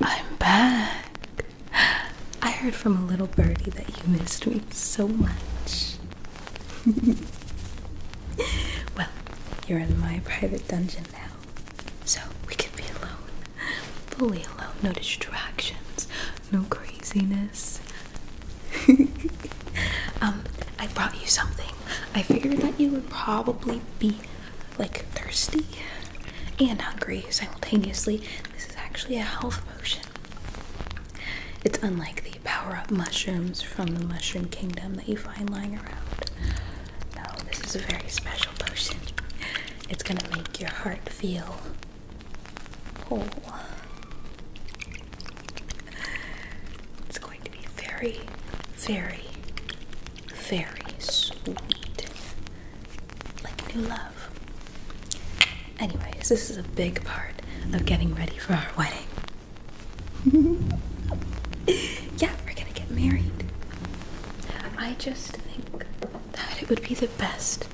I'm back. I heard from a little birdie that you missed me so much. well, you're in my private dungeon now, so we can be alone. Fully alone. No distractions, no craziness. um, I brought you something. I figured that you would probably be like thirsty and hungry simultaneously. This is actually a health potion. It's unlike the power up mushrooms from the mushroom kingdom that you find lying around. No, this is a very special potion. It's gonna make your heart feel whole. It's going to be very, very, very sweet. Like new love. Anyways, this is a big part of getting ready for our wedding. yeah, we're gonna get married. I just think that it would be the best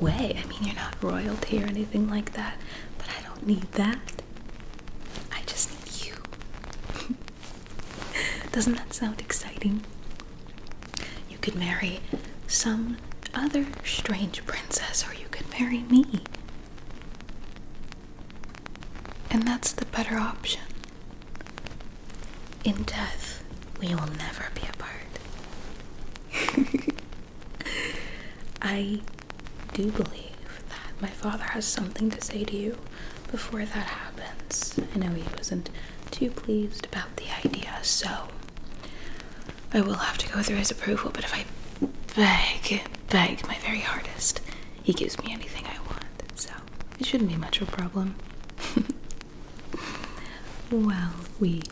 way. I mean, you're not royalty or anything like that, but I don't need that. I just need you. Doesn't that sound exciting? You could marry some other strange princess, or you could marry me. And that's the better option. In death, we will never be apart. I do believe that my father has something to say to you before that happens. I know he wasn't too pleased about the idea, so I will have to go through his approval, but if I beg, beg my very hardest, he gives me anything I want, so it shouldn't be much of a problem. well, Ouija,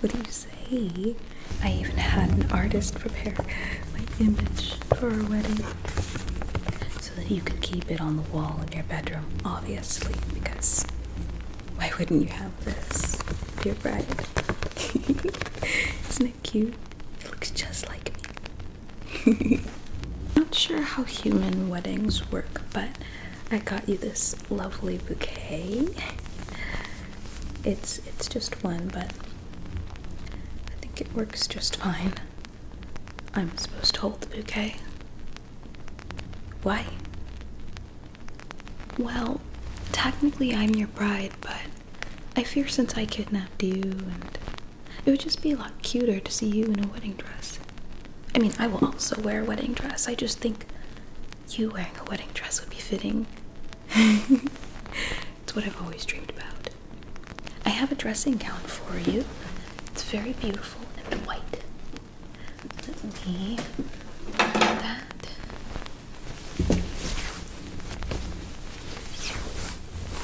what do you say? I even had an artist prepare my image for a wedding so that you can keep it on the wall in your bedroom, obviously, because why wouldn't you have this if you're bride? Isn't it cute? It looks just like me. Not sure how human weddings work, but I got you this lovely bouquet. It's it's just one, but I think it works just fine. I'm supposed to hold the bouquet. Why? Well, technically I'm your bride, but I fear since I kidnapped you and it would just be a lot cuter to see you in a wedding dress. I mean, I will also wear a wedding dress. I just think you wearing a wedding dress would be fitting. It's what I've always dreamed about. I have a dressing gown for you. It's very beautiful and white. Let me grab that.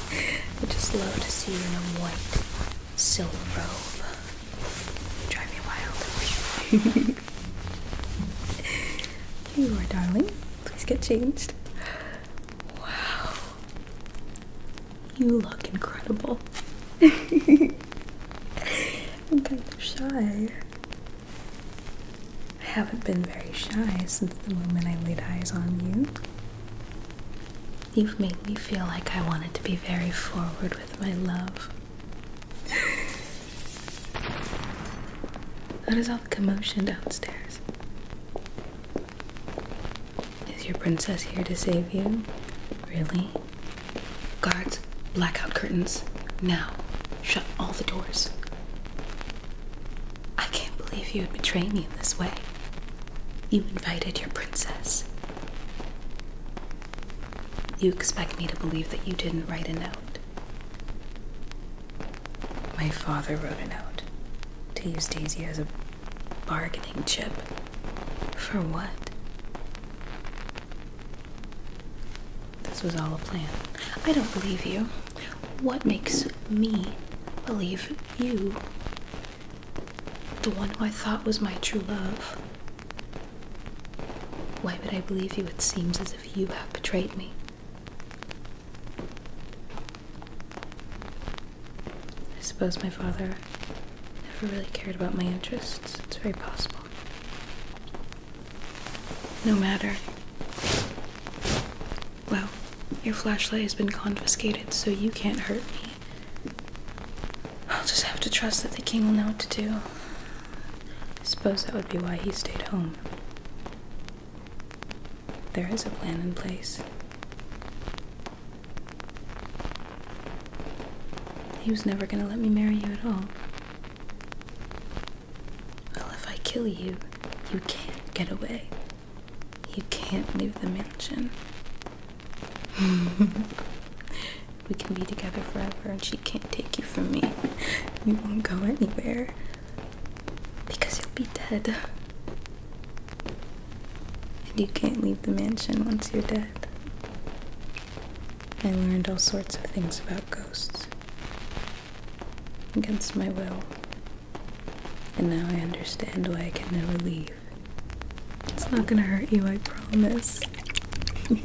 I just love to see you in a white silk robe. drive me wild. you are darling. Please get changed. Wow. You look incredible. I'm kind of shy. I haven't been very shy since the moment I laid eyes on you. You've made me feel like I wanted to be very forward with my love. What is all the commotion downstairs? Is your princess here to save you? Really? Guards, blackout curtains. Now, shut all the doors. I can't believe you would betray me in this way. You invited your princess. You expect me to believe that you didn't write a note. My father wrote a note to use Daisy as a bargaining chip. For what? This was all a plan. I don't believe you. What makes me believe you? The one who I thought was my true love. Why would I believe you? It seems as if you have betrayed me. I suppose my father never really cared about my interests. It's very possible. No matter. Well, your flashlight has been confiscated, so you can't hurt me. I'll just have to trust that the king will know what to do. I suppose that would be why he stayed home. There is a plan in place. He was never gonna let me marry you at all. Well, if I kill you, you can't get away. You can't leave the mansion. we can be together forever, and she can't take you from me. You won't go anywhere. Because you'll be dead. And you can't leave the mansion once you're dead. I learned all sorts of things about ghosts. Against my will. And now I understand why I can never leave. It's not gonna hurt you, I promise. Take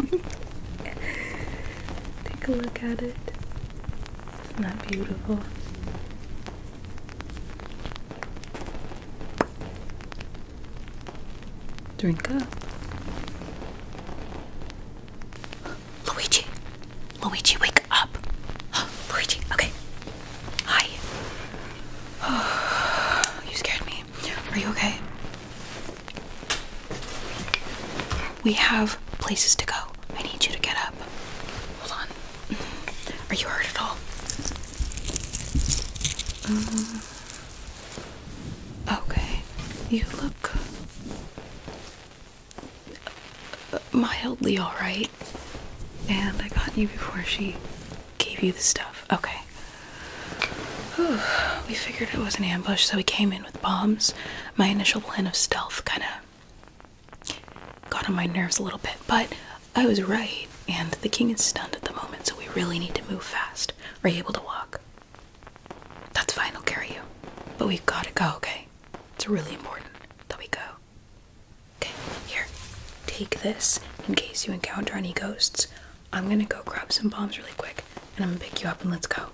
a look at it. Isn't that beautiful? Drink up. Luigi! Luigi, wake up! Luigi, okay. Hi. you scared me. Are you okay? We have places to go. I need you to get up. Hold on. Mm-hmm. Are you hurt at all? Mm-hmm. okay. You look uh, mildly alright. And I got you before she gave you the stuff. Okay. We figured it was an ambush, so we came in with bombs, my initial plan of stealth kind of got on my nerves a little bit, but I was right, and the king is stunned at the moment, so we really need to move fast. Are you able to walk? That's fine, I'll carry you. But we've got to go, okay? It's really important that we go. Okay, here, take this in case you encounter any ghosts. I'm gonna go grab some bombs really quick, and I'm gonna pick you up and let's go.